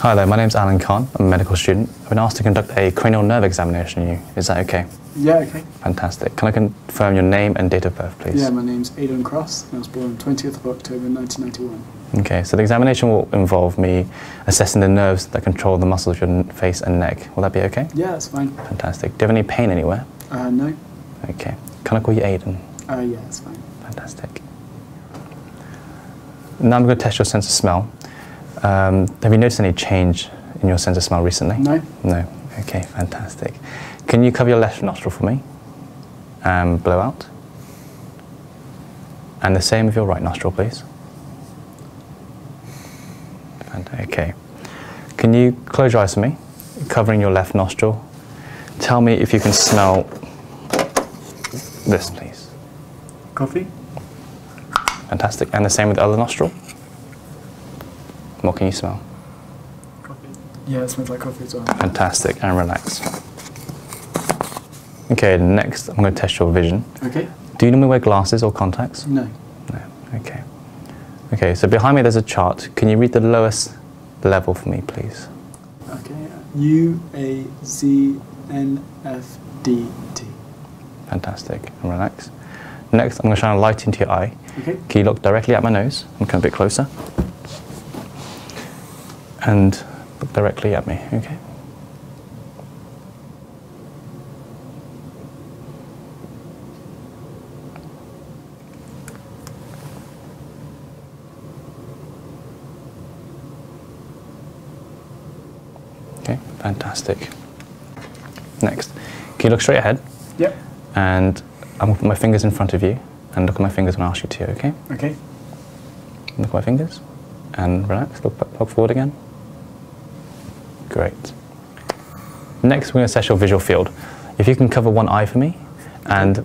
Hi there, my name is Alan Khan. I'm a medical student. I've been asked to conduct a cranial nerve examination on you. Is that okay? Yeah, okay. Fantastic. Can I confirm your name and date of birth, please? Yeah, my name's Aidan Cross. I was born 20th of October 1991. Okay, so the examination will involve me assessing the nerves that control the muscles of your face and neck. Will that be okay? Yeah, that's fine. Fantastic. Do you have any pain anywhere? Uh, no. Okay. Can I call you Aidan? Oh yeah, that's fine. Fantastic. Now I'm going to test your sense of smell. Um, have you noticed any change in your sense of smell recently? No. No. Okay, fantastic. Can you cover your left nostril for me and um, blow out? And the same with your right nostril, please. And okay. Can you close your eyes for me, covering your left nostril Tell me if you can smell this, please. Coffee. Fantastic. And the same with the other nostril. What can you smell? Coffee. Yeah, it smells like coffee as well. Fantastic. And relax. Okay, next I'm going to test your vision. Okay. Do you normally wear glasses or contacts? No. No. Okay. Okay, so behind me there's a chart. Can you read the lowest level for me, please? Okay, U A Z N F D T. Fantastic. And relax. Next, I'm going to shine a light into your eye. Okay. Can you look directly at my nose? and come a bit closer. And look directly at me, okay? Okay, fantastic. Next, can you look straight ahead? Yep. And I'm going to put my fingers in front of you and look at my fingers when I ask you to, okay? Okay. Look at my fingers and relax. Look, look forward again. Great. Next, we're going to assess your visual field. If you can cover one eye for me, and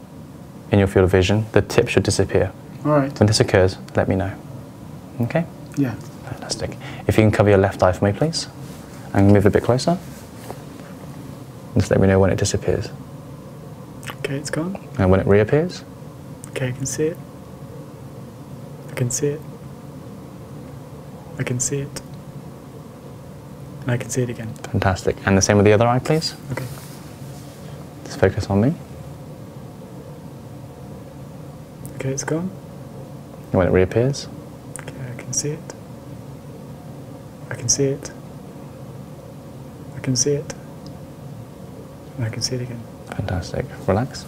in your field of vision, the tip should disappear. All right. When this occurs, let me know. Okay? Yeah. Fantastic. If you can cover your left eye for me, please, and move a bit closer. Just let me know when it disappears. Okay, it's gone. And when it reappears? Okay, I can see it. I can see it. I can see it. And I can see it again. Fantastic. And the same with the other eye, please. Okay. Just focus on me. Okay, it's gone. when it reappears? Okay, I can see it. I can see it. I can see it. And I can see it again. Fantastic. Relax.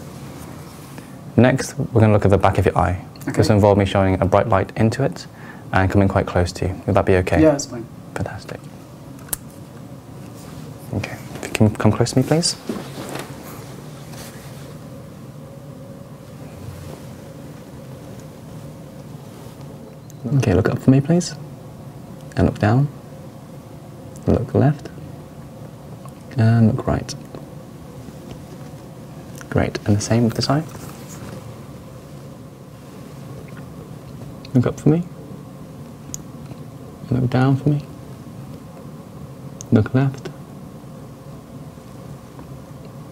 Next, we're going to look at the back of your eye. This will involve me showing a bright light into it and coming quite close to you. Would that be okay? Yeah, it's fine. Fantastic. Okay. Can you come close to me, please. Okay, look up for me, please. And look down. Look left. And look right. Great. And the same with the side. Look up for me. Look down for me. Look left.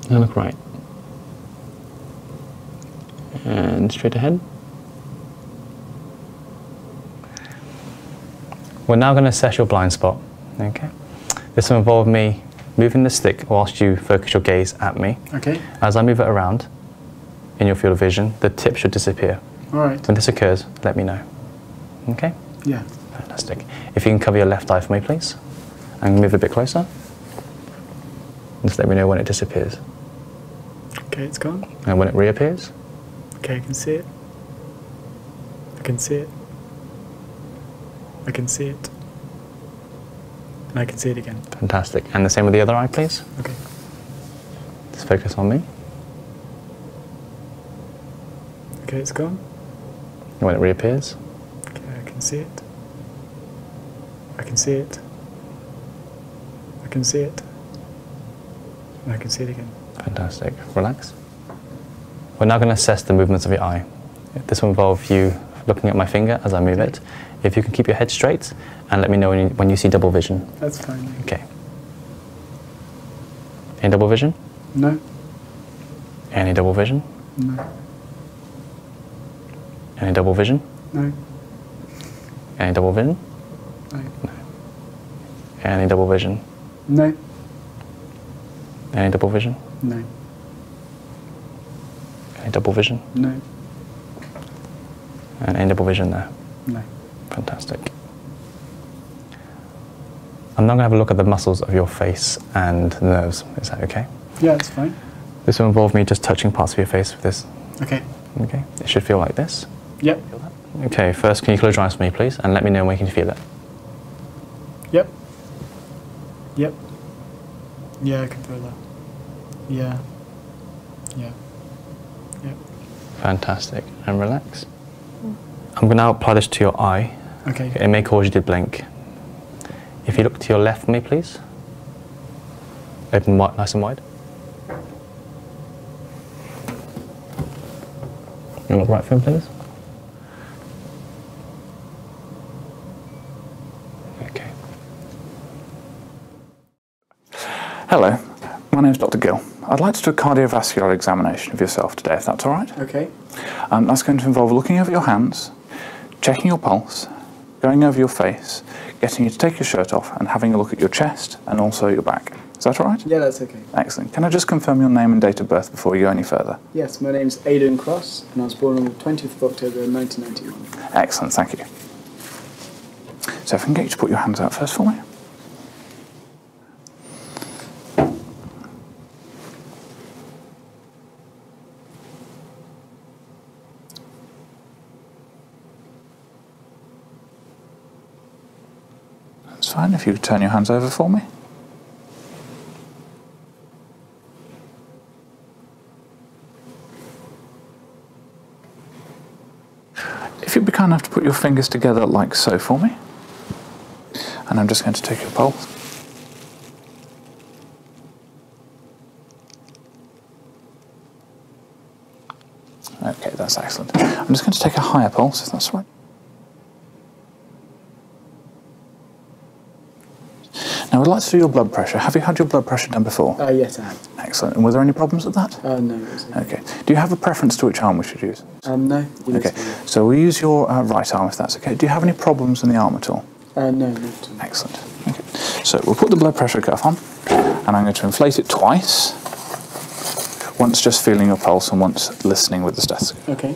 And look right. And straight ahead. We're now going to assess your blind spot. Okay. This will involve me moving the stick whilst you focus your gaze at me. Okay. As I move it around, in your field of vision, the tip should disappear. All right. When this occurs, let me know. Okay? Yeah. Fantastic. If you can cover your left eye for me, please, and move a bit closer. Just let me know when it disappears. Okay, it's gone. And when it reappears? Okay, I can see it. I can see it. I can see it. And I can see it again. Fantastic. And the same with the other eye, please. Okay. Just focus on me. Okay, it's gone. And when it reappears? Okay, I can see it. I can see it. I can see it. And I can see it again. Fantastic. Relax. We're now going to assess the movements of your eye. This will involve you looking at my finger as I move it. If you can keep your head straight and let me know when you, see double vision. That's fine. Okay. Any double vision? No. Any double vision? No. Any double vision? no. Any double vision? No. Any double vision? No. Okay, double vision? No. And uh, any double vision there? No. Fantastic. I'm now going to have a look at the muscles of your face and the nerves. Is that okay? Yeah, it's fine. This will involve me just touching parts of your face with this. Okay. Okay. It should feel like this. Yep. Okay, first, can you close your eyes for me, please, and let me know when you can feel it? Yep. Yep. Yeah, I can feel that. Yeah. Yeah. Yeah. Fantastic. And relax. I'm going to now apply this to your eye. Okay. It may cause you to blink. If you look to your left me, please. Open wide, nice and wide. And look right for me, please. Okay. Hello, my name is Dr. Gill. I'd like to do a cardiovascular examination of yourself today, if that's all right. Okay. Um, that's going to involve looking over your hands, checking your pulse, going over your face, getting you to take your shirt off, and having a look at your chest and also your back. Is that all right? Yeah, that's okay. Excellent. Can I just confirm your name and date of birth before you go any further? Yes, my name is Aidan Cross, and I was born on the 20th of October 1991. Excellent, thank you. So if I can get you to put your hands out first for me. That's fine. If you turn your hands over for me. If you'd be kind enough to put your fingers together like so for me, and I'm just going to take your pulse. Okay, that's excellent. I'm just going to take a higher pulse Is that right. Now, I'd like to do your blood pressure. Have you had your blood pressure done before? Oh yes, I have. Excellent. And were there any problems with that? Uh, no. Okay. Do you have a preference to which arm we should use? Um, no. Okay. So we'll use your uh, right arm if that's okay. Do you have any problems in the arm at all? Uh, no, Excellent. Okay. So we'll put the blood pressure cuff on, and I'm going to inflate it twice. Once just feeling your pulse, and once listening with the stethoscope. Okay.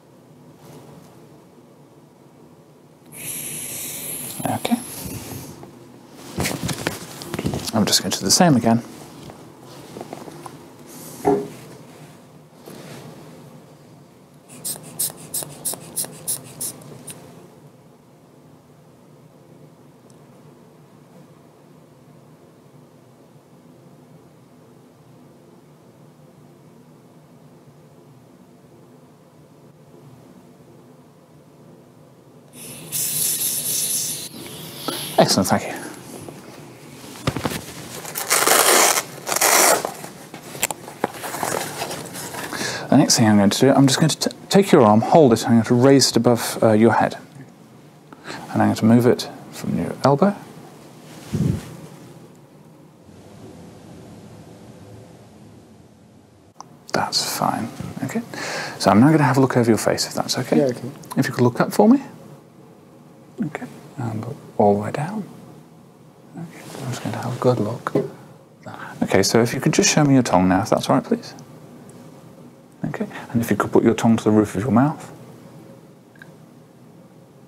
Okay. I'm just going to do the same again. Excellent, thank you. The next thing I'm going to do, I'm just going to take your arm, hold it, and I'm going to raise it above uh, your head. And I'm going to move it from your elbow that's fine. Okay. So I'm now going to have a look over your face, if that's okay. If you could look up for me. Okay. all the way down. Okay. I'm just going to have a good look. Okay. So if you could just show me your tongue now, if that's right, please. Okay. And if you could put your tongue to the roof of your mouth.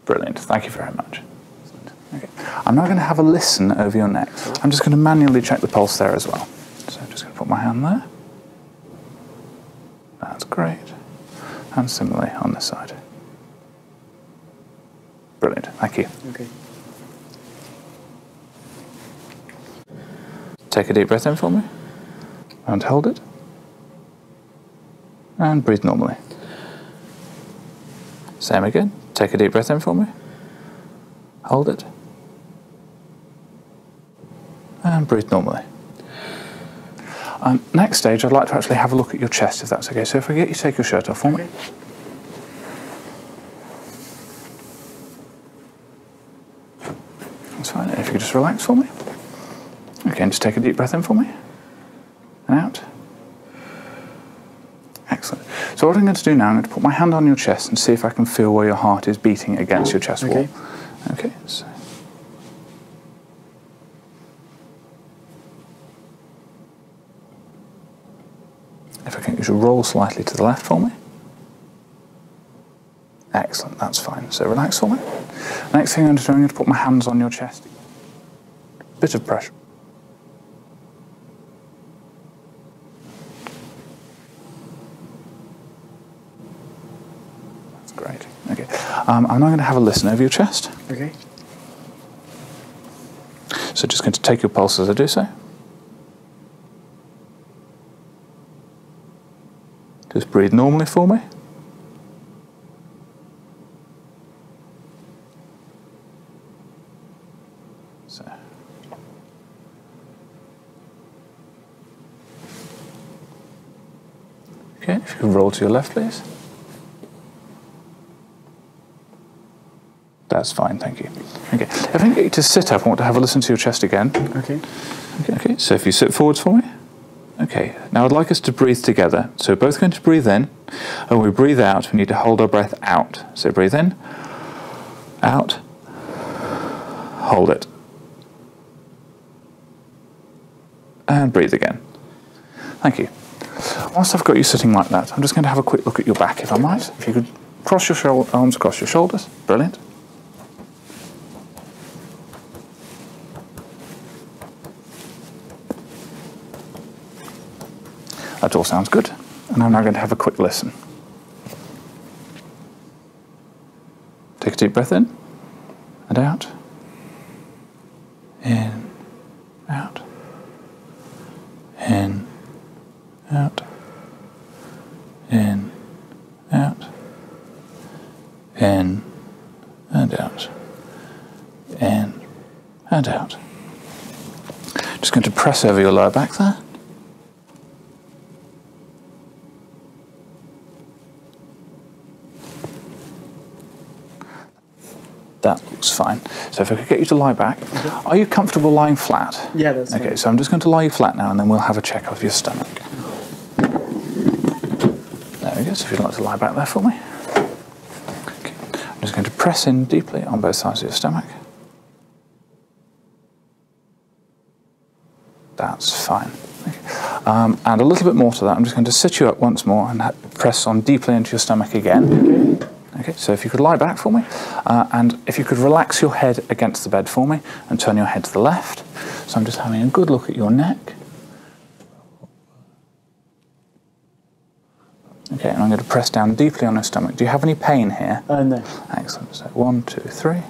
Brilliant. Thank you very much. I'm now going to have a listen over your neck. I'm just going to manually check the pulse there as well. So I'm just going to put my hand there. That's great. And similarly on this side. Brilliant. Thank you. Okay. Take a deep breath in for me. And hold it. And breathe normally. Same again. Take a deep breath in for me. Hold it. And breathe normally. Um, next stage, I'd like to actually have a look at your chest, if that's okay. So if I get you, take your shirt off for me. That's fine. If you just relax for me. Okay, just take a deep breath in for me and out. Excellent. So what I'm going to do now, I'm going to put my hand on your chest and see if I can feel where your heart is beating against your chest wall. Okay. Okay. If I can, you should roll slightly to the left for me. Excellent, that's fine. So relax for me. Next thing I'm going to do, I'm going to put my hands on your chest bit of pressure. That's great. Okay. Um, I'm now going to have a listen over your chest. Okay. So just going to take your pulse as I do so. Just breathe normally for me. So. Okay, if you can roll to your left, please. That's fine, thank you. Okay, I think you to sit up, I want to have a listen to your chest again. Okay. Okay, okay so if you sit forwards for me. Okay, now I'd like us to breathe together. So both going to breathe in and we breathe out, we need to hold our breath out. So breathe in, out, hold it. And breathe again. Thank you. Whilst I've got you sitting like that, I'm just going to have a quick look at your back, if I might. If you could cross your arms across your shoulders. Brilliant. That all sounds good, and I'm now going to have a quick listen. Take a deep breath in and out. In, out. In, out. In, out. In, and out. In, and out. Just going to press over your lower back there. That looks fine. So if I could get you to lie back. Mm-hmm. Are you comfortable lying flat? Yeah, that's Okay, fine. so I'm just going to lie you flat now and then we'll have a check of your stomach. There we go, so if you'd like to lie back there for me. I'm just going to press in deeply on both sides of your stomach. That's fine. Um, and a little bit more to that, I'm just going to sit you up once more and press on deeply into your stomach again. Okay, so if you could lie back for me, uh, and if you could relax your head against the bed for me and turn your head to the left. So I'm just having a good look at your neck. Okay, and I'm going to press down deeply on her stomach. Do you have any pain here? Oh no. Excellent. So one, two, three.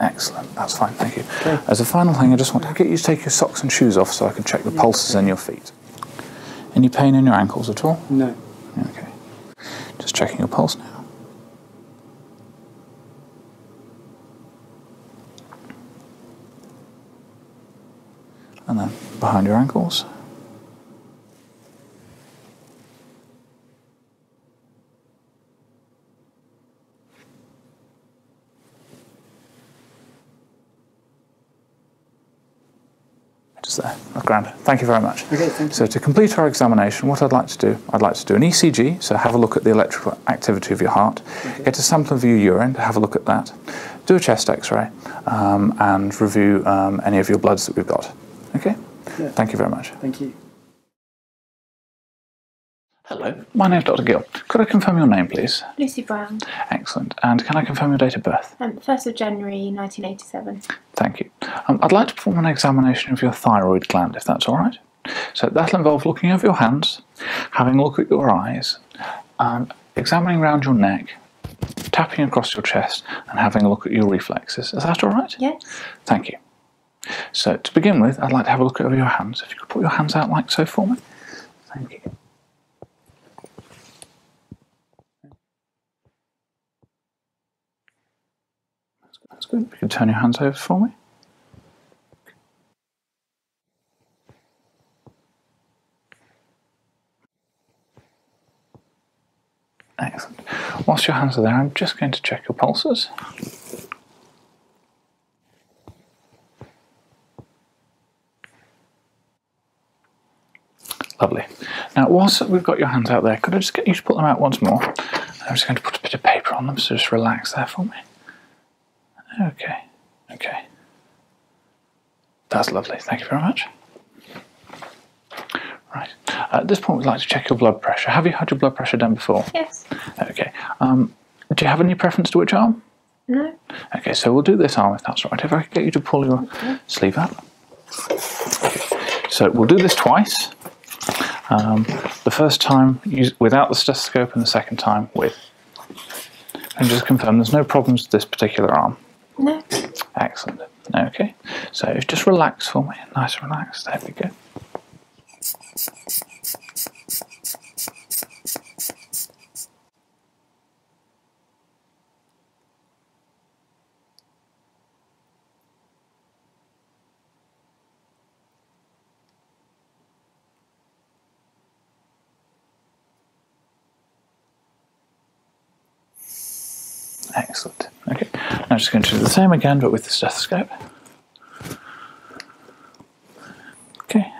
Excellent. That's fine. Thank you. As a final thing, I just want to get you to take your socks and shoes off so I can check the pulses in your feet. Any pain in your ankles at all? No. Okay. Just checking your pulse now. And then behind your ankles. Just there. grand. Thank you very much. Okay, So to complete our examination, what I'd like to do, I'd like to do an ECG, so have a look at the electrical activity of your heart. Get a sample of your urine to have a look at that. Do a chest x-ray um, and review um, any of your bloods that we've got. Okay? Thank you very much. Thank you. Hello, my name is Dr. Gill. Could I confirm your name, please? Lucy Brown. Excellent. And can I confirm your date of birth? 1st um, of January 1987. Thank you. I'd like to perform an examination of your thyroid gland, if that's all right. So that'll involve looking over your hands, having a look at your eyes, and examining around your neck, tapping across your chest, and having a look at your reflexes. Is that all right? Yes. Thank you. So to begin with, I'd like to have a look over your hands. If you could put your hands out like so for me. Thank you. That's good. You can turn your hands over for me. Excellent. Whilst your hands are there, I'm just going to check your pulses. Lovely. Now, whilst we've got your hands out there, could I just get you to put them out once more? I'm just going to put a bit of paper on them, so just relax there for me. Okay, okay. That's lovely, thank you very much. Right, at this point we'd like to check your blood pressure. Have you had your blood pressure done before? Yes. Okay, um, do you have any preference to which arm? No. Okay, so we'll do this arm if that's right. If I get you to pull your sleeve up. So we'll do this twice. Um, the first time without the stethoscope and the second time with. And just confirm there's no problems with this particular arm? No. Excellent. Okay, so just relax for me. Nice and relaxed. There we go. Excellent. Okay, I'm just going to do the same again, but with the stethoscope. Okay.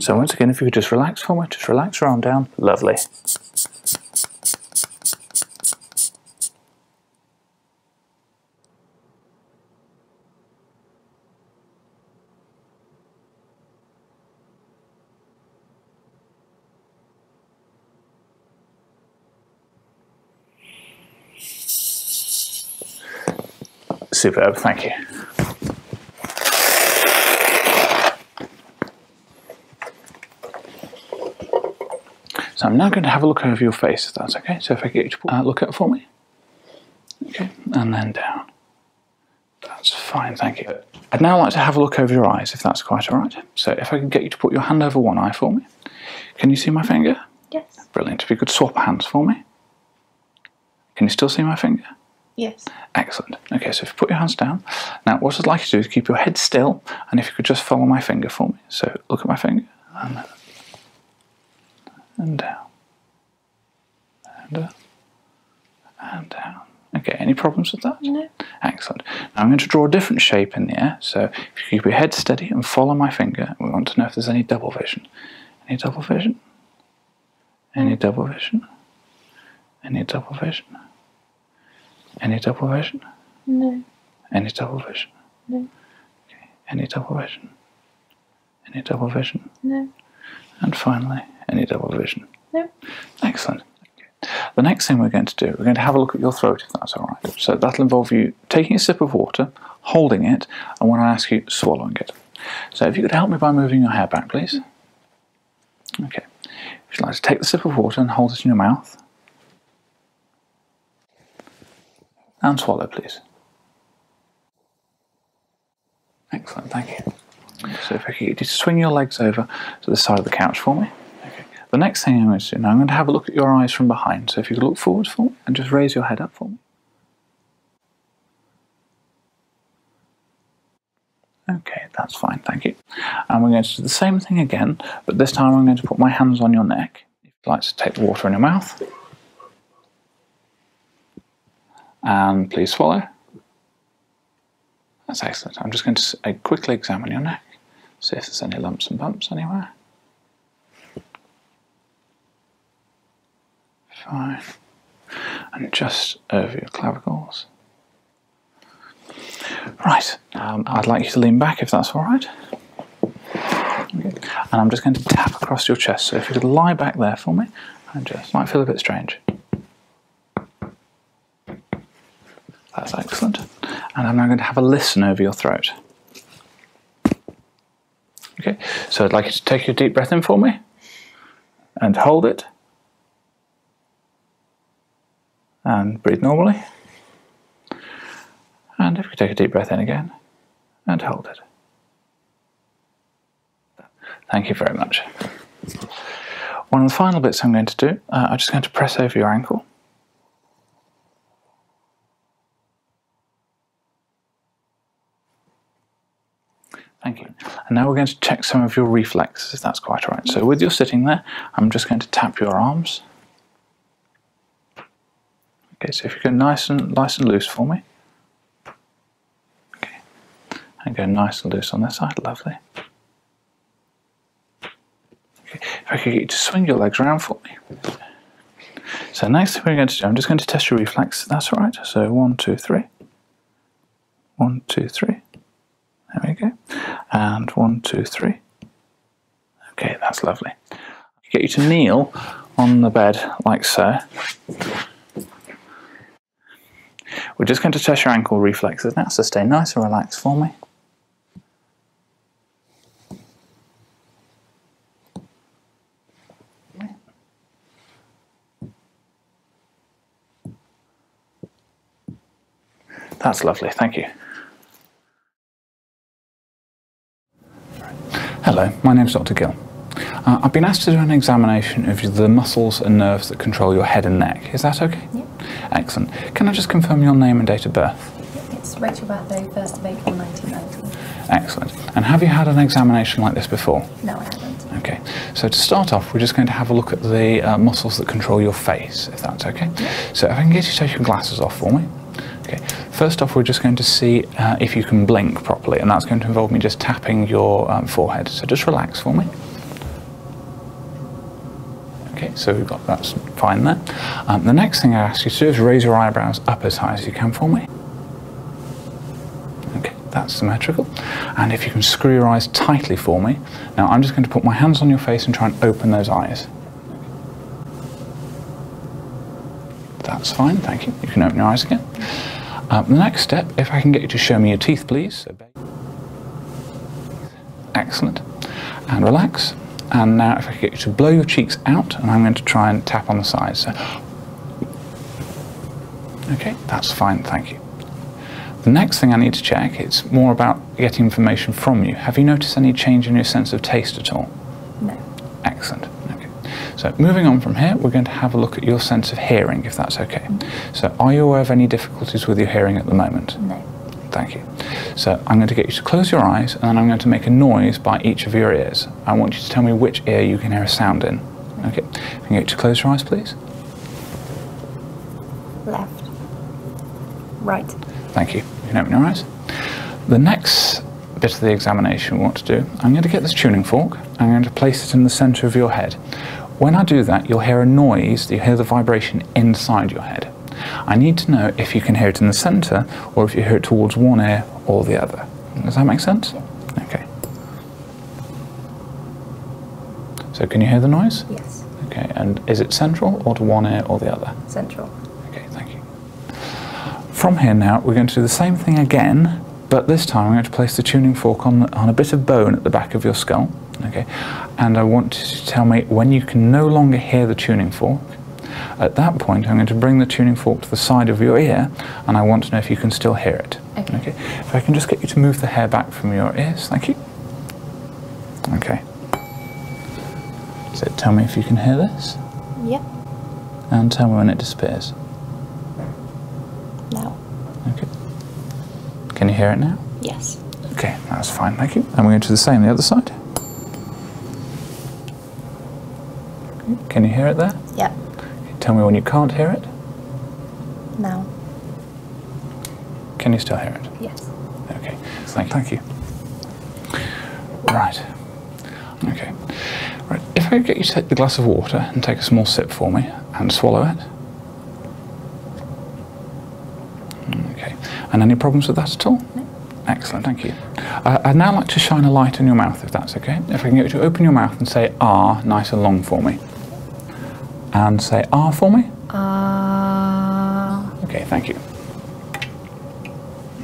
So once again, if you could just relax for me, just relax your arm down. Lovely. Superb, thank you. So I'm now going to have a look over your face, if that's okay. So if I get you to uh, look up for me. Okay, and then down. That's fine, thank you. I'd now like to have a look over your eyes, if that's quite all right. So if I can get you to put your hand over one eye for me. Can you see my finger? Yes. Brilliant. If you could swap hands for me. Can you still see my finger? Yes. Excellent. Okay, so if you put your hands down. Now, what I'd like you to do is keep your head still, and if you could just follow my finger for me. So look at my finger, and, and down, and up, uh, and down. Okay, any problems with that? No. Excellent. Now I'm going to draw a different shape in the air, so if you keep your head steady and follow my finger, we want to know if there's any double vision. Any double vision? Any double vision? Any double vision? Any double vision? No. Any double vision? No. Okay. Any double vision? Any double vision? No. And finally, any double vision? No. Excellent. The next thing we're going to do, we're going to have a look at your throat if that's all right. So that'll involve you taking a sip of water, holding it, and when I ask you, swallowing it. So if you could help me by moving your hair back, please. Okay. Would you like to take the sip of water and hold it in your mouth? And swallow, please. Excellent, thank you. So if you could just swing your legs over to the side of the couch for me. Okay. The next thing I'm going to do now, I'm going to have a look at your eyes from behind. So if you could look forward for me and just raise your head up for me. Okay, that's fine, thank you. And we're going to do the same thing again, but this time I'm going to put my hands on your neck. If you'd like to take the water in your mouth and please follow. That's excellent. I'm just going to uh, quickly examine your neck, see if there's any lumps and bumps anywhere. Fine. And just over your clavicles. Right, um, I'd like you to lean back if that's all right. And I'm just going to tap across your chest. So if you could lie back there for me, and just might feel a bit strange. That's excellent. And I'm now going to have a listen over your throat. Okay, so I'd like you to take a deep breath in for me and hold it and breathe normally. And if you take a deep breath in again and hold it Thank you very much. One of the final bits I'm going to do, uh, I'm just going to press over your ankle. Thank you. And now we're going to check some of your reflexes, if that's quite all right. So with your sitting there, I'm just going to tap your arms. Okay, so if you go nice and nice and loose for me. Okay, and go nice and loose on this side, lovely. Okay, if I could get you to swing your legs around for me. So next thing we're going to do, I'm just going to test your reflex, that's right. So one, two, three. One, two, three. There we go. And one, two, three. Okay, that's lovely. Get you to kneel on the bed like so. We're just going to test your ankle reflexes now, so stay nice and relaxed for me. That's lovely, thank you. Hello, my name's Dr. Gill. Uh, I've been asked to do an examination of the muscles and nerves that control your head and neck. Is that okay? Yep. Excellent. Can I just confirm your name and date of birth? It's Rachel Batho. 1st of April 1990. Excellent. And have you had an examination like this before? No, I haven't. Okay. So to start off, we're just going to have a look at the uh, muscles that control your face, if that's okay. Yep. So if I can get you to take your glasses off for me. Okay. First off, we're just going to see uh, if you can blink properly, and that's going to involve me just tapping your um, forehead. So just relax for me. Okay, so we've got that's fine there. Um, the next thing I ask you to do is raise your eyebrows up as high as you can for me. Okay, that's symmetrical. And if you can screw your eyes tightly for me. Now I'm just going to put my hands on your face and try and open those eyes. That's fine, thank you. You can open your eyes again. Um, the next step, if I can get you to show me your teeth please. Excellent. And relax. And now if I get you to blow your cheeks out, and I'm going to try and tap on the sides. Okay, that's fine, thank you. The next thing I need to check, it's more about getting information from you. Have you noticed any change in your sense of taste at all? No. Excellent. Okay. So moving on from here, we're going to have a look at your sense of hearing, if that's okay. So, are you aware of any difficulties with your hearing at the moment? No. Thank you. So, I'm going to get you to close your eyes and then I'm going to make a noise by each of your ears. I want you to tell me which ear you can hear a sound in. Okay. Can you get close your eyes, please? Left. Right. Thank you. You can open your eyes. The next bit of the examination we want to do, I'm going to get this tuning fork. I'm going to place it in the centre of your head. When I do that, you'll hear a noise, you hear the vibration inside your head. I need to know if you can hear it in the center or if you hear it towards one ear or the other. Does that make sense? Okay. So can you hear the noise? Yes. Okay, and is it central or to one ear or the other? Central. Okay, thank you. From here now, we're going to do the same thing again, but this time I'm going to place the tuning fork on, on a bit of bone at the back of your skull, okay? And I want to tell me when you can no longer hear the tuning fork. At that point, I'm going to bring the tuning fork to the side of your ear, and I want to know if you can still hear it. Okay. If I can just get you to move the hair back from your ears, thank you. Okay. So tell me if you can hear this. Yep. And tell me when it disappears. Now. Okay. Can you hear it now? Yes. Okay, that's fine, thank you. And we're going to do the same the other side. Can you hear it there? Yeah. Tell me when you can't hear it. Now. Can you still hear it? Yes. Okay, thank Thank you. Right. Okay. Right, if I could get you to take the glass of water and take a small sip for me and swallow it. Okay. And any problems with that at all? No. Excellent, thank you. I'd now like to shine a light on your mouth, if that's okay. If I can get you to open your mouth and say R ah, nice and long for me. And say R ah for me. R. Ah. Okay, thank you.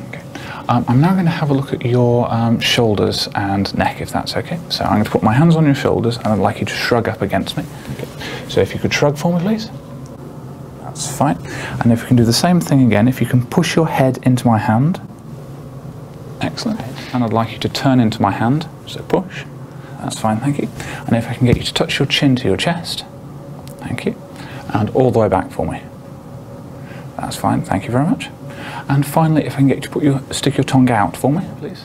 Okay. Um, I'm now going to have a look at your um, shoulders and neck, if that's okay so I'm going to put my hands on your shoulders and I'd like you to shrug up against me. So if you could shrug for me, please. That's fine. And if you can do the same thing again, if you can push your head into my hand. Excellent. And I'd like you to turn into my hand. So push. That's fine, thank you. And if I can get you to touch your chin to your chest. Thank you. And all the way back for me. That's fine, thank you very much. And finally, if I can get you to put your, stick your tongue out for me, please.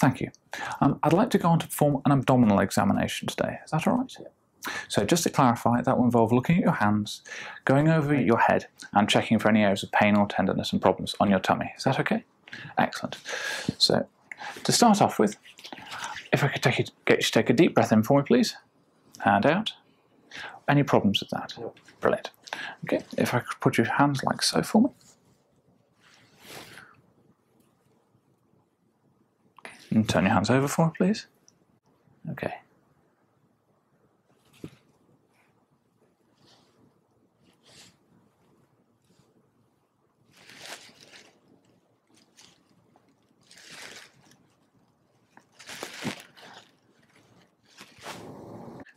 Thank you. Um, I'd like to go on to perform an abdominal examination today. Is that all right? So just to clarify, that will involve looking at your hands, going over your head, and checking for any areas of pain or tenderness and problems on your tummy. Is that okay? Excellent. So to start off with, if I could get you to take a deep breath in for me, please. Hand out. Any problems with that? Brilliant. Okay, if I could put your hands like so for me. And turn your hands over for me, please. Okay.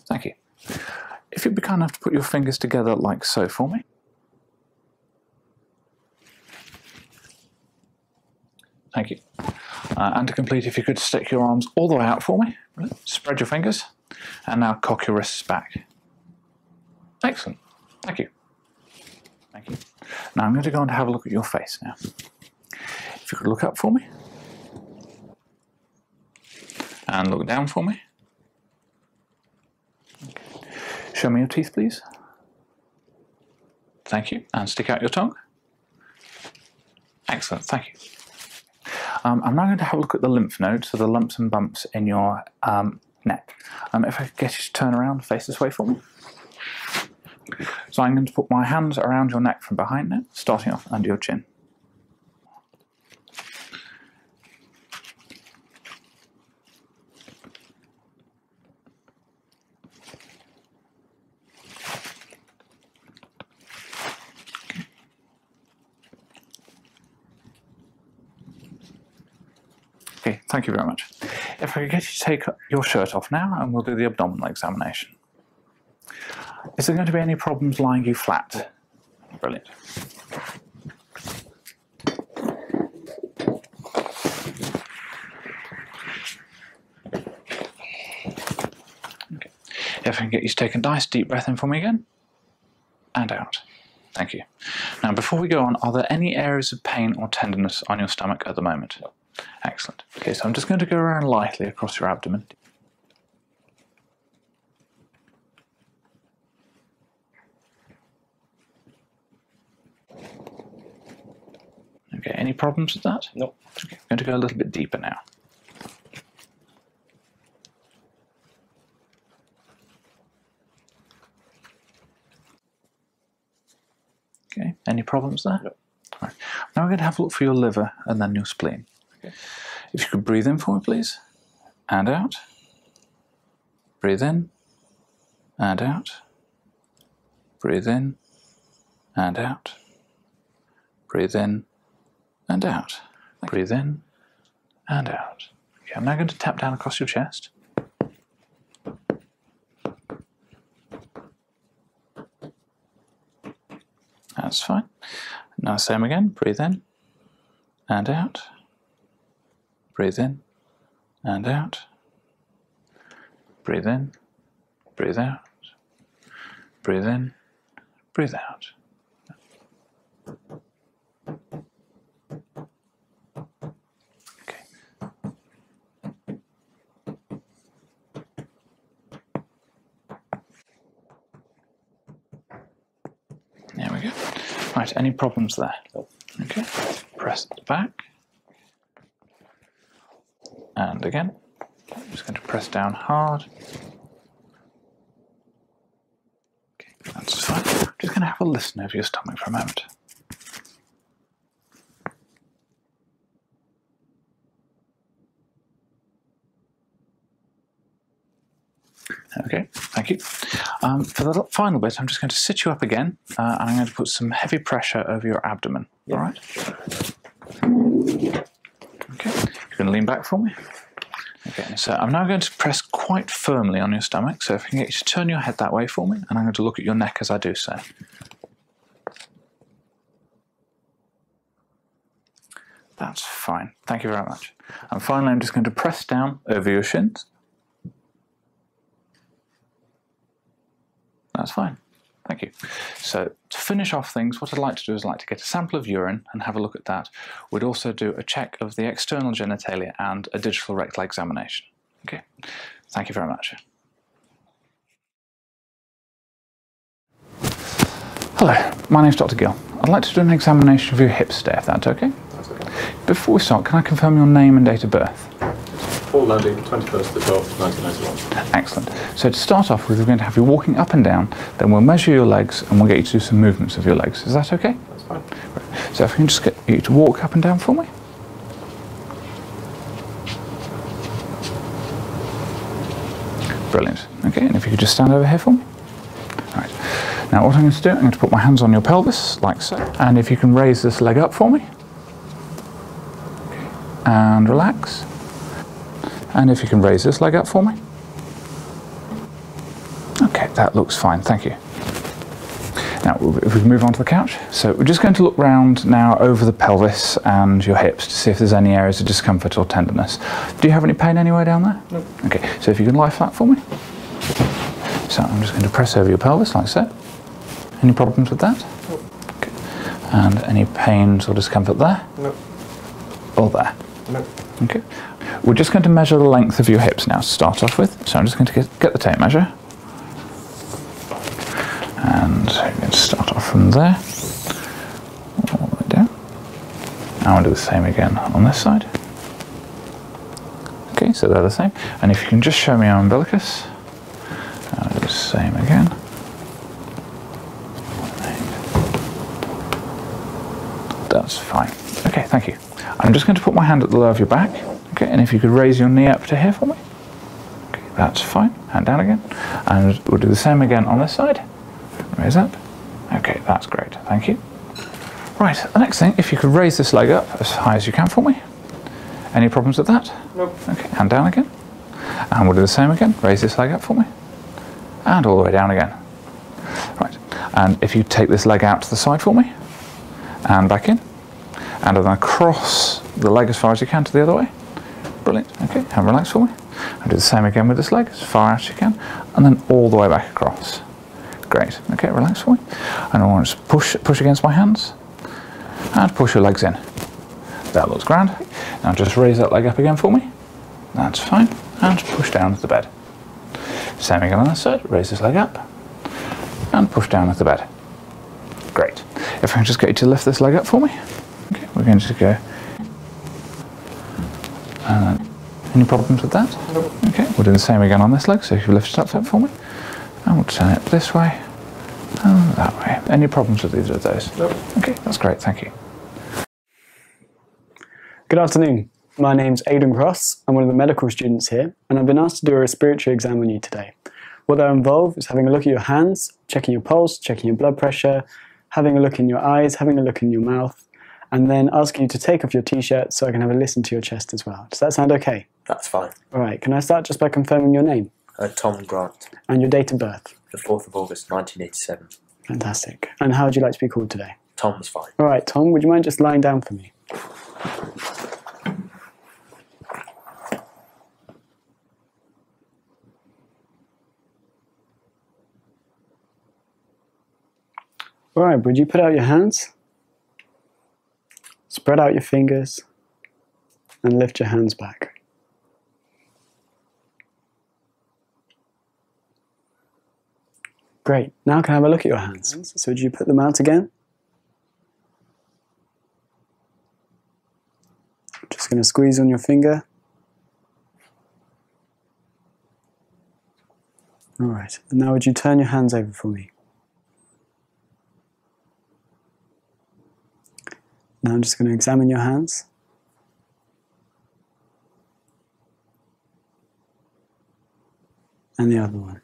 Thank you. If you'd be kind enough to put your fingers together like so for me. Thank you. Uh, and to complete, if you could stick your arms all the way out for me, spread your fingers, and now cock your wrists back. Excellent. Thank you. Thank you. Now I'm going to go and have a look at your face now. If you could look up for me. And look down for me. Show me your teeth, please. Thank you. And stick out your tongue. Excellent, thank you. Um, I'm now going to have a look at the lymph nodes, so the lumps and bumps in your um, neck. Um, if I could get you to turn around, face this way for me. So I'm going to put my hands around your neck from behind now, starting off under your chin. Okay, thank you very much. If I could get you to take your shirt off now and we'll do the abdominal examination. Is there going to be any problems lying you flat? Brilliant. Okay. If I can get you to take a nice deep breath in for me again, and out. Thank you. Now, before we go on, are there any areas of pain or tenderness on your stomach at the moment? Excellent. Okay, so I'm just going to go around lightly across your abdomen. Okay, any problems with that? No. Okay, I'm going to go a little bit deeper now. Okay, any problems there? No. All right. Now we're going to have a look for your liver and then your spleen. Okay. If you could breathe in for me, please, and out, Breathe in and out. Breathe in and out. Breathe in and out. Okay. Breathe in and out. I'm now going to tap down across your chest. That's fine. Now same again. Breathe in and out. Breathe in and out. Breathe in, breathe out. Breathe in, breathe out. Okay. There we go. Right, any problems there? Okay, press it back. And again, I'm just going to press down hard. Okay, that's fine. just going to have a listen over your stomach for a moment. Okay, thank you. Um, for the final bit, I'm just going to sit you up again, uh, and I'm going to put some heavy pressure over your abdomen. All right. Okay, you can lean back for me. Okay, so I'm now going to press quite firmly on your stomach. So if I can get you to turn your head that way for me, and I'm going to look at your neck as I do so. That's fine. Thank you very much. And finally, I'm just going to press down over your shins. That's fine. Thank you. So to finish off things, what I'd like to do is like to get a sample of urine and have a look at that. We'd also do a check of the external genitalia and a digital rectal examination. Okay. Thank you very much. Hello, my name is Dr. Gill. I'd like to do an examination of your hips today, that's okay. Before we start, can I confirm your name and date of birth? Paul Lundy, 21st of 12th, 1991. Excellent. So to start off with, we're going to have you walking up and down, then we'll measure your legs and we'll get you to do some movements of your legs. Is that okay? That's fine. So if we can just get you to walk up and down for me. Brilliant. Okay, and if you could just stand over here for me. Right. Now what I'm going to do, I'm going to put my hands on your pelvis, like so. And if you can raise this leg up for me. And relax. And if you can raise this leg up for me. Okay, that looks fine, thank you. Now, if we move on to the couch. So we're just going to look round now over the pelvis and your hips to see if there's any areas of discomfort or tenderness. Do you have any pain anywhere down there? Okay, so if you can lie flat for me. So I'm just going to press over your pelvis like so. Any problems with that? No. Okay. And any pains or discomfort there? No. Or there? No. Okay. We're just going to measure the length of your hips now start off with. So I'm just going to get, the tape measure. And start off from there. All the way down. And we'll do the same again on this side. Okay, so they're the same. And if you can just show me our umbilicus, uh, the same again. That's fine. Okay, thank you. I'm just going to put my hand at the lower of your back. Okay, and if you could raise your knee up to here for me. Okay, that's fine. Hand down again. And we'll do the same again on this side. Raise up. Okay, that's great. Thank you. Right, the next thing, if you could raise this leg up as high as you can for me. Any problems with that? Nope. Okay, and down again. And we'll do the same again. Raise this leg up for me. And all the way down again. Right, and if you take this leg out to the side for me. And back in. And then across the leg as far as you can to the other way. Brilliant, okay, and relax for me. And do the same again with this leg, as far as you can. And then all the way back across. Great. Okay, relax for me. And I want to push, push against my hands and push your legs in. That looks grand. Now just raise that leg up again for me. That's fine. And push down to the bed. Same again on this side. Raise this leg up and push down to the bed. Great. If I can just get you to lift this leg up for me. Okay, we're going to go and any problems with that? Nope. Okay, we'll do the same again on this leg, so if you lift it up that for me. And we'll turn it this way and that way. Any problems with either of those? Nope. Okay, that's great, thank you. Good afternoon. My name's Aidan Cross. I'm one of the medical students here, and I've been asked to do a respiratory exam on you today. What that involves is having a look at your hands, checking your pulse, checking your blood pressure, having a look in your eyes, having a look in your mouth, and then asking you to take off your t-shirt so I can have a listen to your chest as well. Does that sound okay? That's fine. All right, can I start just by confirming your name? Uh, Tom Grant. And your date of birth? The 4th of August, 1987. Fantastic. And how would you like to be called today? Tom's fine. All right, Tom, would you mind just lying down for me? All right, would you put out your hands? Spread out your fingers and lift your hands back. Great. Now can have a look at your hands? So would you put them out again? Just going to squeeze on your finger. All right. And now would you turn your hands over for me? Now I'm just going to examine your hands. And the other one.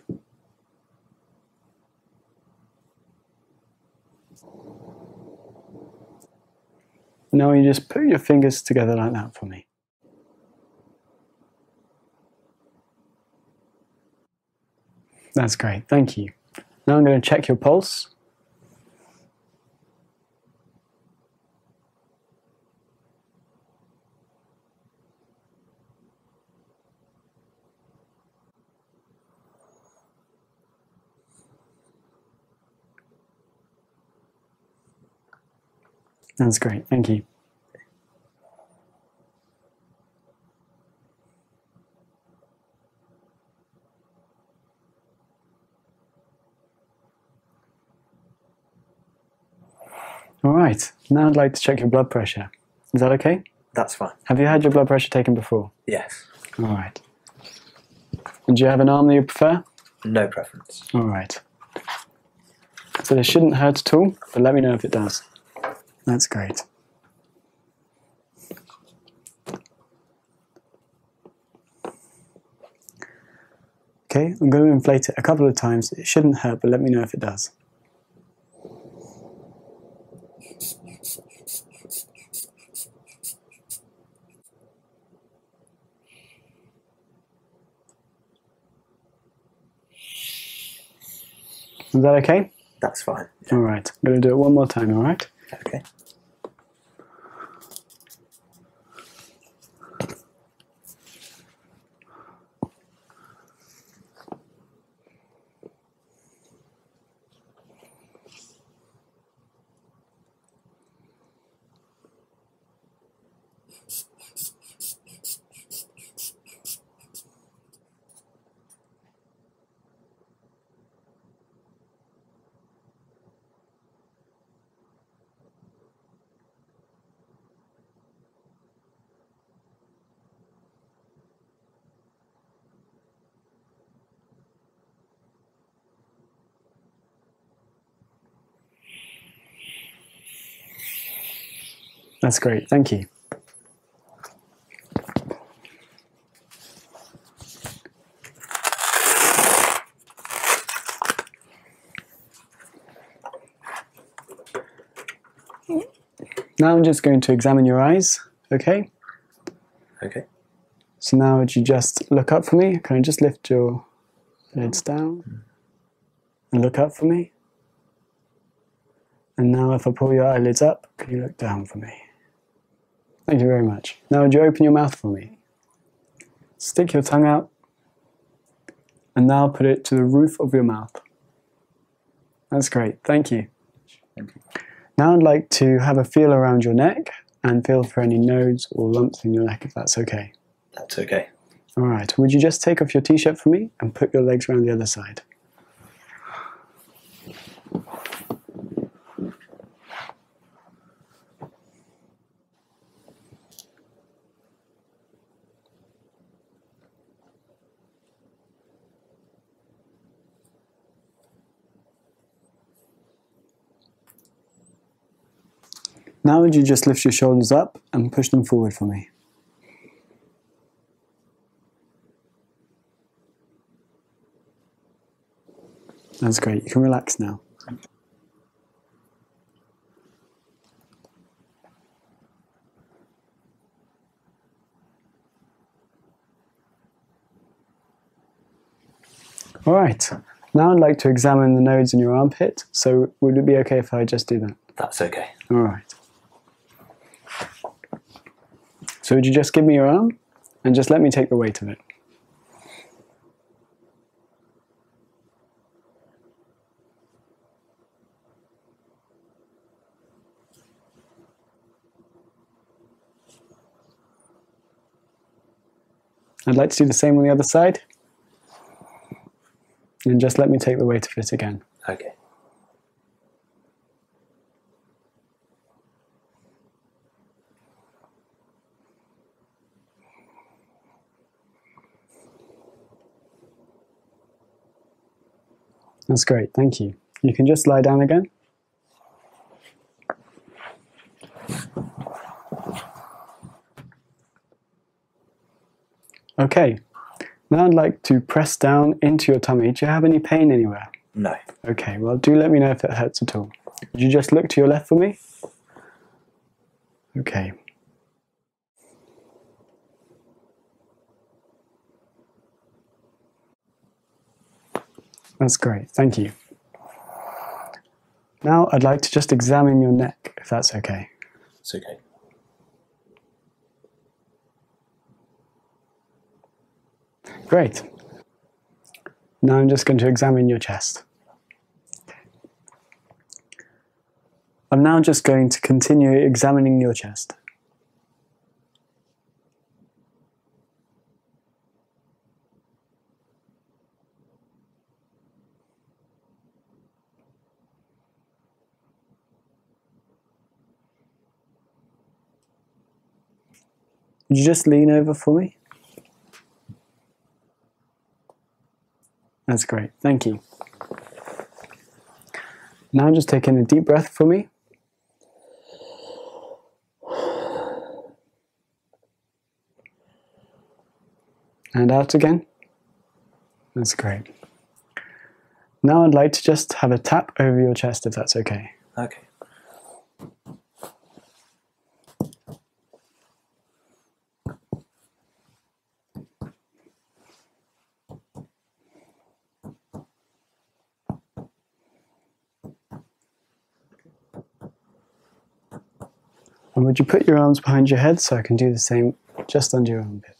Now you just put your fingers together like that for me. That's great, thank you. Now I'm going to check your pulse. That's great. Thank you. All right. Now I'd like to check your blood pressure. Is that okay? That's fine. Have you had your blood pressure taken before? Yes. All right. Do you have an arm that you prefer? No preference. All right. So this shouldn't hurt at all, but let me know if it does. That's great. Okay, I'm going to inflate it a couple of times. It shouldn't hurt, but let me know if it does. Is that okay? That's fine. All right. I'm going to do it one more time, all right? Okay. That's great. Thank you. Now I'm just going to examine your eyes, okay? Okay. So now would you just look up for me? Can I just lift your lids down? and look up for me. And now if I pull your eyelids up, can you look down for me? Thank you very much. Now would you open your mouth for me? Stick your tongue out and now put it to the roof of your mouth. That's great, thank you. Now I'd like to have a feel around your neck and feel for any nodes or lumps in your neck if that's okay. That's okay. All right, would you just take off your t-shirt for me and put your legs around the other side? Now would you just lift your shoulders up and push them forward for me? That's great. You can relax now. All right, now I'd like to examine the nodes in your armpit, so would it be okay if I just do that? Mm. That's okay. All right. So would you just give me your arm and just let me take the weight of it? I'd like to do the same on the other side. And just let me take the weight of it again. Okay. That's great, thank you. You can just lie down again. Okay. Now I'd like to press down into your tummy. Do you have any pain anywhere? No. Okay, well do let me know if it hurts at all. you just look to your left for me? Okay. That's great, thank you. Now I'd like to just examine your neck, if that's okay. It's okay. Great. Now I'm just going to examine your chest. I'm now just going to continue examining your chest. Would you just lean over for me? That's great, thank you. Now just take in a deep breath for me. And out again. That's great. Now I'd like to just have a tap over your chest if that's okay. Okay. And would you put your arms behind your head so I can do the same just under your armpit?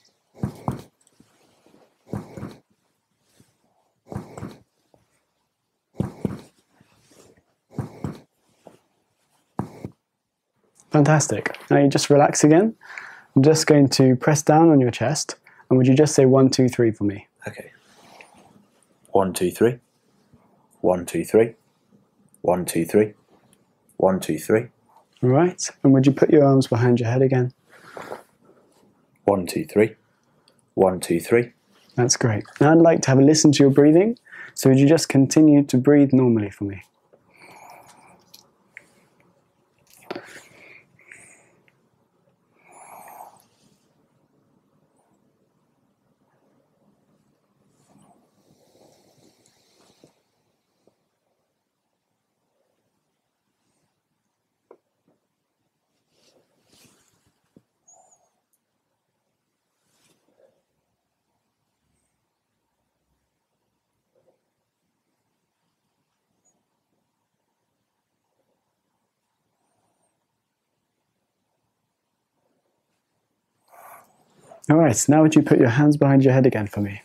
Fantastic. Now you just relax again. I'm just going to press down on your chest. And would you just say one, two, three for me? Okay. One, two, three. One, two, three. One, two, three. One, two, three. All right. And would you put your arms behind your head again? again. One, two, three. One, two, three. That's great. I'd like to have a listen to your breathing. So would you just continue to breathe normally for me? All right, now would you put your hands behind your head again for me?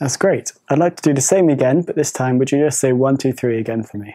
That's great. I'd like to do the same again, but this time would you just say one, two, three again for me?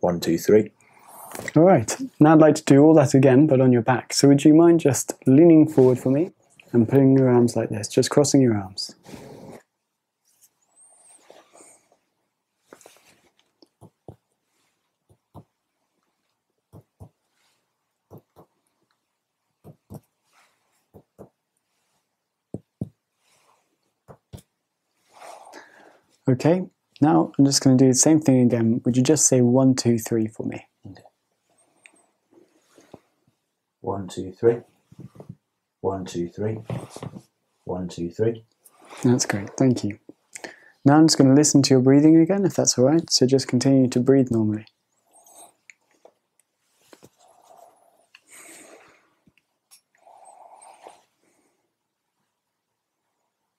One, two, three. All right. Now I'd like to do all that again, but on your back. So would you mind just leaning forward for me and putting your arms like this, just crossing your arms. Okay, now I'm just going to do the same thing again. Would you just say one, two, three for me? Okay. One, two, three. One, two, three. One, two, three. That's great. Thank you. Now I'm just going to listen to your breathing again, if that's all right. So just continue to breathe normally.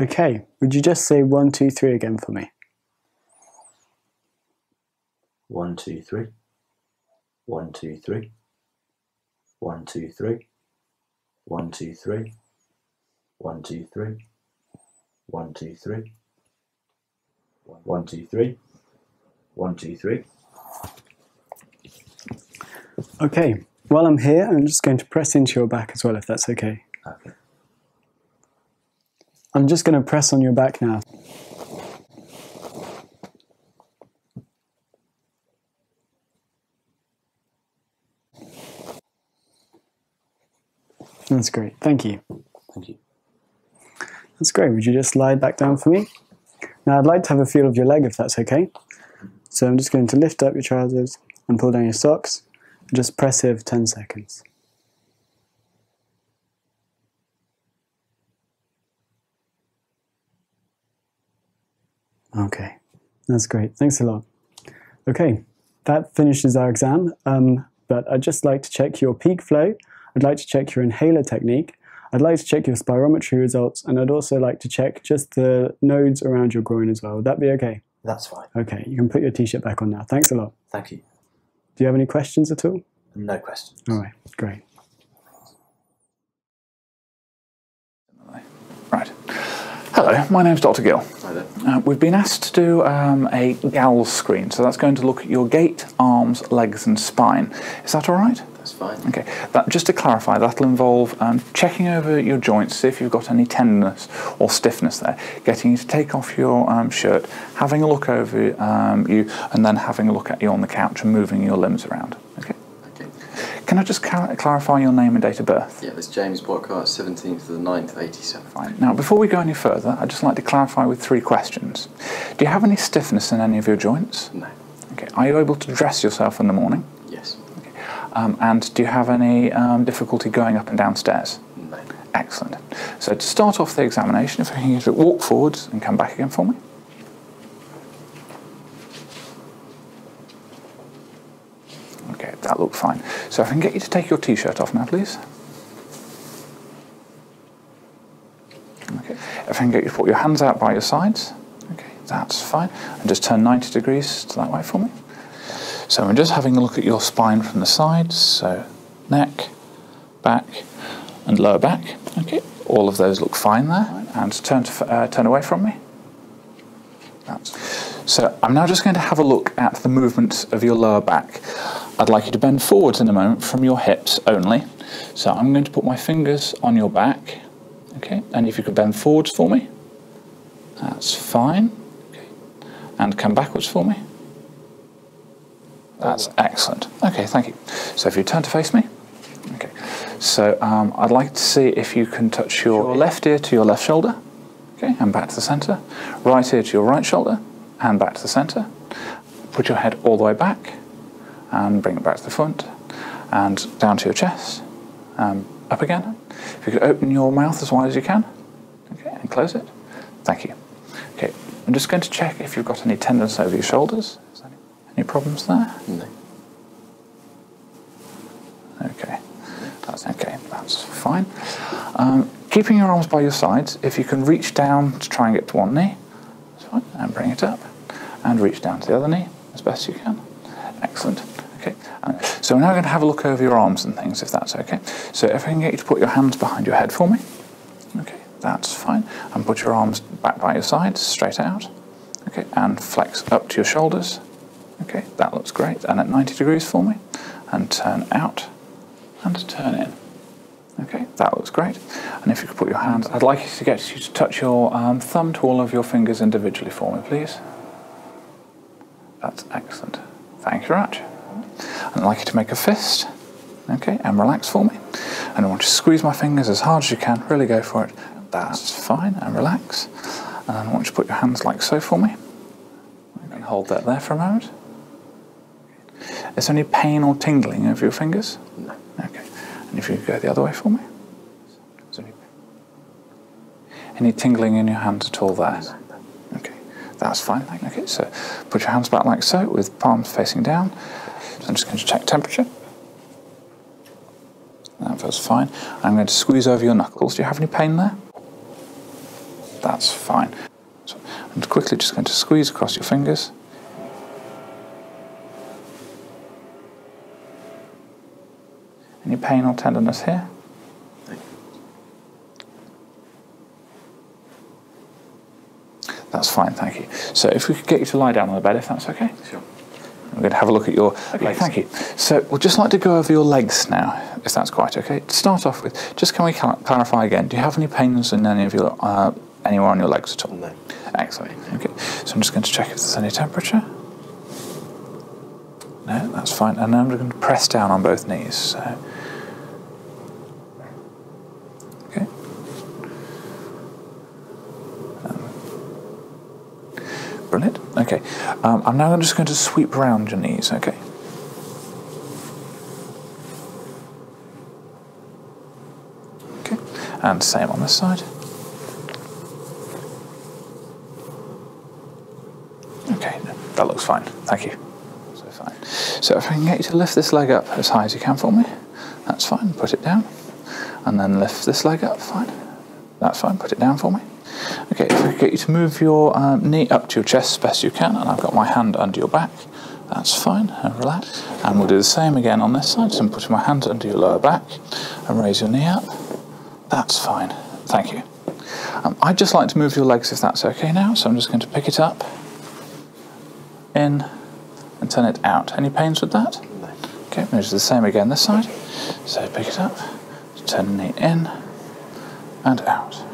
Okay, would you just say one, two, three again for me? One, two, three. One, two, three. One, two, three. One, two, three. One, two, three. One, two, three. One, two, three. One, two, three. Okay, while I'm here, I'm just going to press into your back as well, if that's okay. Okay. I'm just going to press on your back now. That's great. Thank you. Thank you. That's great. Would you just lie back down for me? Now I'd like to have a feel of your leg if that's okay. So I'm just going to lift up your trousers and pull down your socks and just press here 10 seconds. Okay, that's great. Thanks a lot. Okay, that finishes our exam, um, but I'd just like to check your peak flow. I'd like to check your inhaler technique. I'd like to check your spirometry results, and I'd also like to check just the nodes around your groin as well. Would that be okay? That's fine. Okay, you can put your t-shirt back on now. Thanks a lot. Thank you. Do you have any questions at all? No questions. All right, great. Right. Hello, my name's Dr. Gill. Hi uh, we've been asked to do um, a gals screen, so that's going to look at your gait, arms, legs, and spine. Is that all right? That's fine. Okay. just to clarify, that'll involve um, checking over your joints, see if you've got any tenderness or stiffness there, getting you to take off your um, shirt, having a look over um, you, and then having a look at you on the couch and moving your limbs around. Okay? okay. Can I just clarify your name and date of birth? Yeah, it's James Burkhart, 17th of the 9th, 87. Fine. Now, before we go any further, I'd just like to clarify with three questions. Do you have any stiffness in any of your joints? No. Okay. Are you able to dress yourself in the morning? Yes. Okay. Um, and do you have any um, difficulty going up and downstairs? No. Excellent. So to start off the examination, if you can walk forwards and come back again for me. Okay, that looked fine. So I can get you to take your t-shirt off now, please. Okay. If I can get you to put your hands out by your sides. Okay, that's fine. And just turn 90 degrees to that way for me. So I'm just having a look at your spine from the sides. So neck, back, and lower back. Okay, all of those look fine there. And turn uh, turn away from me. So I'm now just going to have a look at the movement of your lower back. I'd like you to bend forwards in a moment from your hips only. So I'm going to put my fingers on your back. Okay, and if you could bend forwards for me. That's fine. Okay. And come backwards for me. That's oh, excellent. Okay, thank you. So if you turn to face me. Okay. So um, I'd like to see if you can touch your left ear to your left shoulder. Okay, and back to the center. Right ear to your right shoulder and back to the center. Put your head all the way back and bring it back to the front and down to your chest um, up again. If you could open your mouth as wide as you can. Okay, and close it. Thank you. Okay, I'm just going to check if you've got any tendons over your shoulders. Any, problems there? No. Okay, that's okay. That's fine. Um, keeping your arms by your sides, if you can reach down to try and get to one knee, that's fine, and bring it up, and reach down to the other knee, as best you can. Excellent. Okay, uh, so we're now going to have a look over your arms and things, if that's okay. So if I can get you to put your hands behind your head for me. Okay, that's fine. And put your arms back by your sides, straight out. Okay, and flex up to your shoulders. Okay, that looks great. And at 90 degrees for me. And turn out and turn in. Okay, that looks great. And if you could put your hands, I'd like you to get you to touch your um, thumb to all of your fingers individually for me, please. That's excellent. Thank you very much. I'd like you to make a fist, okay, and relax for me. And I want you to squeeze my fingers as hard as you can, really go for it. That's fine, and relax. And I want you to put your hands like so for me. And hold that there for a moment. Is there any pain or tingling over your fingers? No. Okay. And if you go the other way for me. Any tingling in your hands at all there? Okay, that's fine. so put your hands back like so, with palms facing down. I'm just going to check temperature. That feels fine. I'm going to squeeze over your knuckles. Do you have any pain there? That's fine. I'm quickly just going to squeeze across your fingers. Any pain or tenderness here? That's fine, thank you. So if we could get you to lie down on the bed, if that's okay? Sure. We're going to have a look at your okay, legs. Thank you. So we'd just like to go over your legs now, if that's quite okay. To start off with, just can we clarify again, do you have any pains in any of your, uh, anywhere on your legs at all? No. Excellent. Okay. So I'm just going to check if there's any temperature. No, that's fine. And I'm going to press down on both knees. Okay. Um, brilliant. Okay. Um, I'm now just going to sweep round your knees. Okay. Okay. And same on this side. Okay, that looks fine. Thank you. So fine. So if I can get you to lift this leg up as high as you can for me, that's fine. Put it down, and then lift this leg up. Fine. That's fine. Put it down for me. Okay, if I can get you to move your um, knee up to your chest as best you can, and I've got my hand under your back. That's fine, and relax. And we'll do the same again on this side. So I'm putting my hands under your lower back and raise your knee up. That's fine. Thank you. Um, I'd just like to move your legs if that's okay now. So I'm just going to pick it up, in, and turn it out. Any pains with that? No. Okay, moves the same again this side. So pick it up, turn the knee in, and out.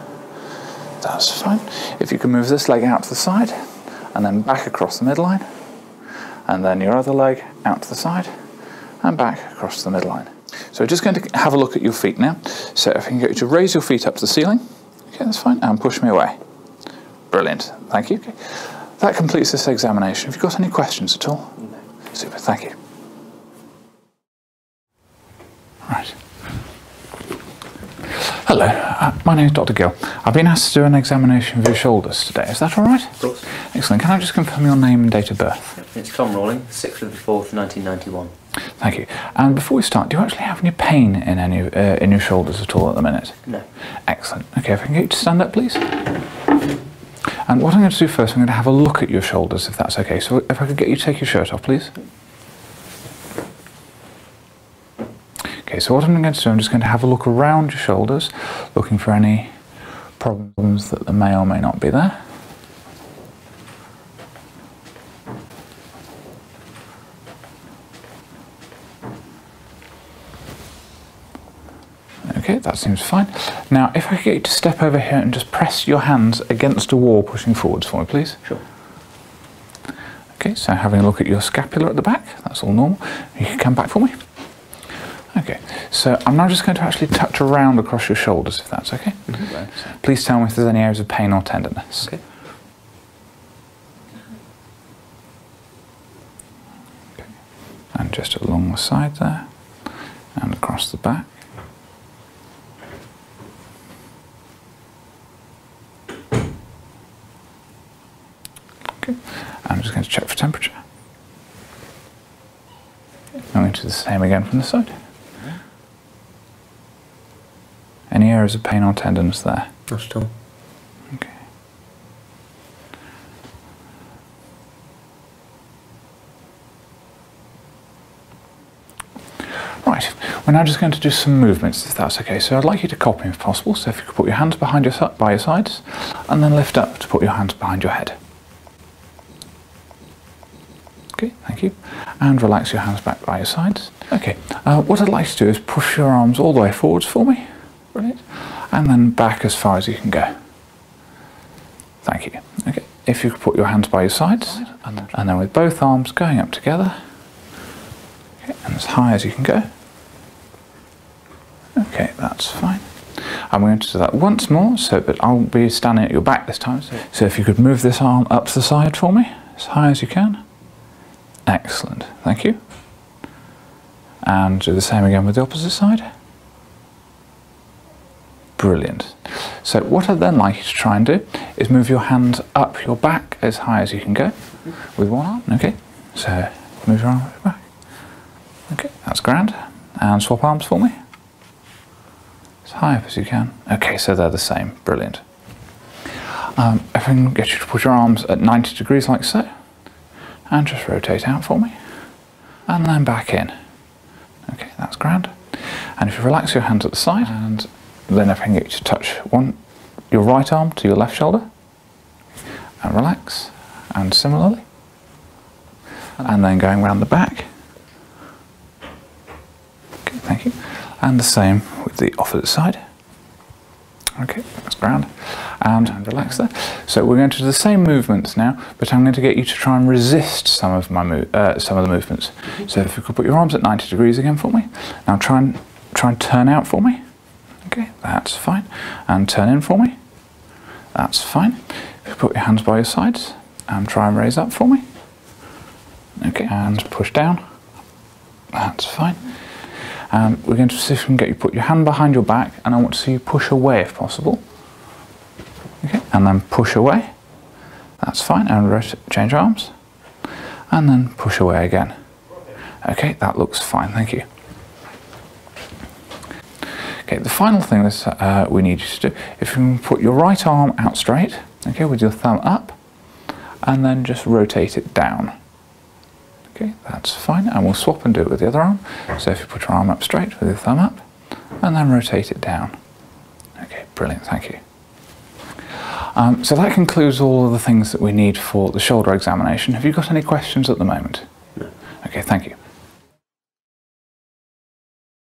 That's fine. If you can move this leg out to the side, and then back across the midline, and then your other leg out to the side, and back across the midline. So we're just going to have a look at your feet now. So if I can get you to raise your feet up to the ceiling, okay, that's fine, and push me away. Brilliant, thank you. That completes this examination. Have you got any questions at all? No. Super, thank you. Right. Hello, uh, my name is Dr. Gill. I've been asked to do an examination of your shoulders today. Is that all right? Of course. Excellent. Can I just confirm your name and date of birth? it's Tom Rawling, 6th of the 4th, 1991. Thank you. And before we start, do you actually have any pain in any uh, in your shoulders at all at the minute? No. Excellent. Okay, if I can get you to stand up, please. And what I'm going to do first, I'm going to have a look at your shoulders, if that's okay. So if I could get you to take your shirt off, please. Okay, so what I'm going to do, I'm just going to have a look around your shoulders, looking for any problems that may or may not be there. Okay, that seems fine. Now, if I could get you to step over here and just press your hands against a wall pushing forwards for me, please. Sure. Okay, so having a look at your scapula at the back, that's all normal. You can come back for me. Okay, so I'm now just going to actually touch around across your shoulders if that's okay. Mm-hmm. Please tell me if there's any areas of pain or tenderness. okay. And just along the side there, and across the back. Okay. I'm just going to check for temperature. I'm going to do the same again from the side. Any areas of pain or tenderness there? Not at all. Okay. Right, we're now just going to do some movements if that's okay. So I'd like you to copy if possible. So if you could put your hands behind your by your sides and then lift up to put your hands behind your head. Okay, thank you. And relax your hands back by your sides. Okay, uh, what I'd like to do is push your arms all the way forwards for me. right? And then back as far as you can go. Thank you. Okay, if you could put your hands by your sides and, then with both arms going up together okay, and as high as you can go. Okay, that's fine. I'm going to do that once more, so but I'll be standing at your back this time. So if you could move this arm up to the side for me, as high as you can. Excellent, thank you. And do the same again with the opposite side. Brilliant. So what I'd then like you to try and do is move your hand up your back as high as you can go with one arm, okay? So move your arm back. Okay, that's grand. And swap arms for me. As high up as you can. Okay, so they're the same. Brilliant. Um, if I can get you to put your arms at 90 degrees like so, and just rotate out for me, and then back in. Okay, that's grand. And if you relax your hands at the side, and then if I can get you to touch one, your right arm to your left shoulder, and relax, and similarly, and then going round the back, Okay, thank you. And the same with the opposite side. Okay, that's ground. And relax there. So we're going to do the same movements now, but I'm going to get you to try and resist some of my uh, some of the movements. So if you could put your arms at 90 degrees again for me. Now try and try and turn out for me. Okay, that's fine. And turn in for me. That's fine. If you put your hands by your sides and try and raise up for me. Okay, and push down. That's fine. And um, we're going to get you put your hand behind your back, and I want to see you push away if possible. Okay, and then push away. That's fine. And change arms, and then push away again. Okay, that looks fine. Thank you. Okay, the final thing that uh, we need you to do if you put your right arm out straight, okay, with your thumb up, and then just rotate it down. Okay, that's fine, and we'll swap and do it with the other arm. So if you put your arm up straight with your thumb up, and then rotate it down. Okay, brilliant, thank you. Um, so that concludes all of the things that we need for the shoulder examination. Have you got any questions at the moment? No. Okay, thank you.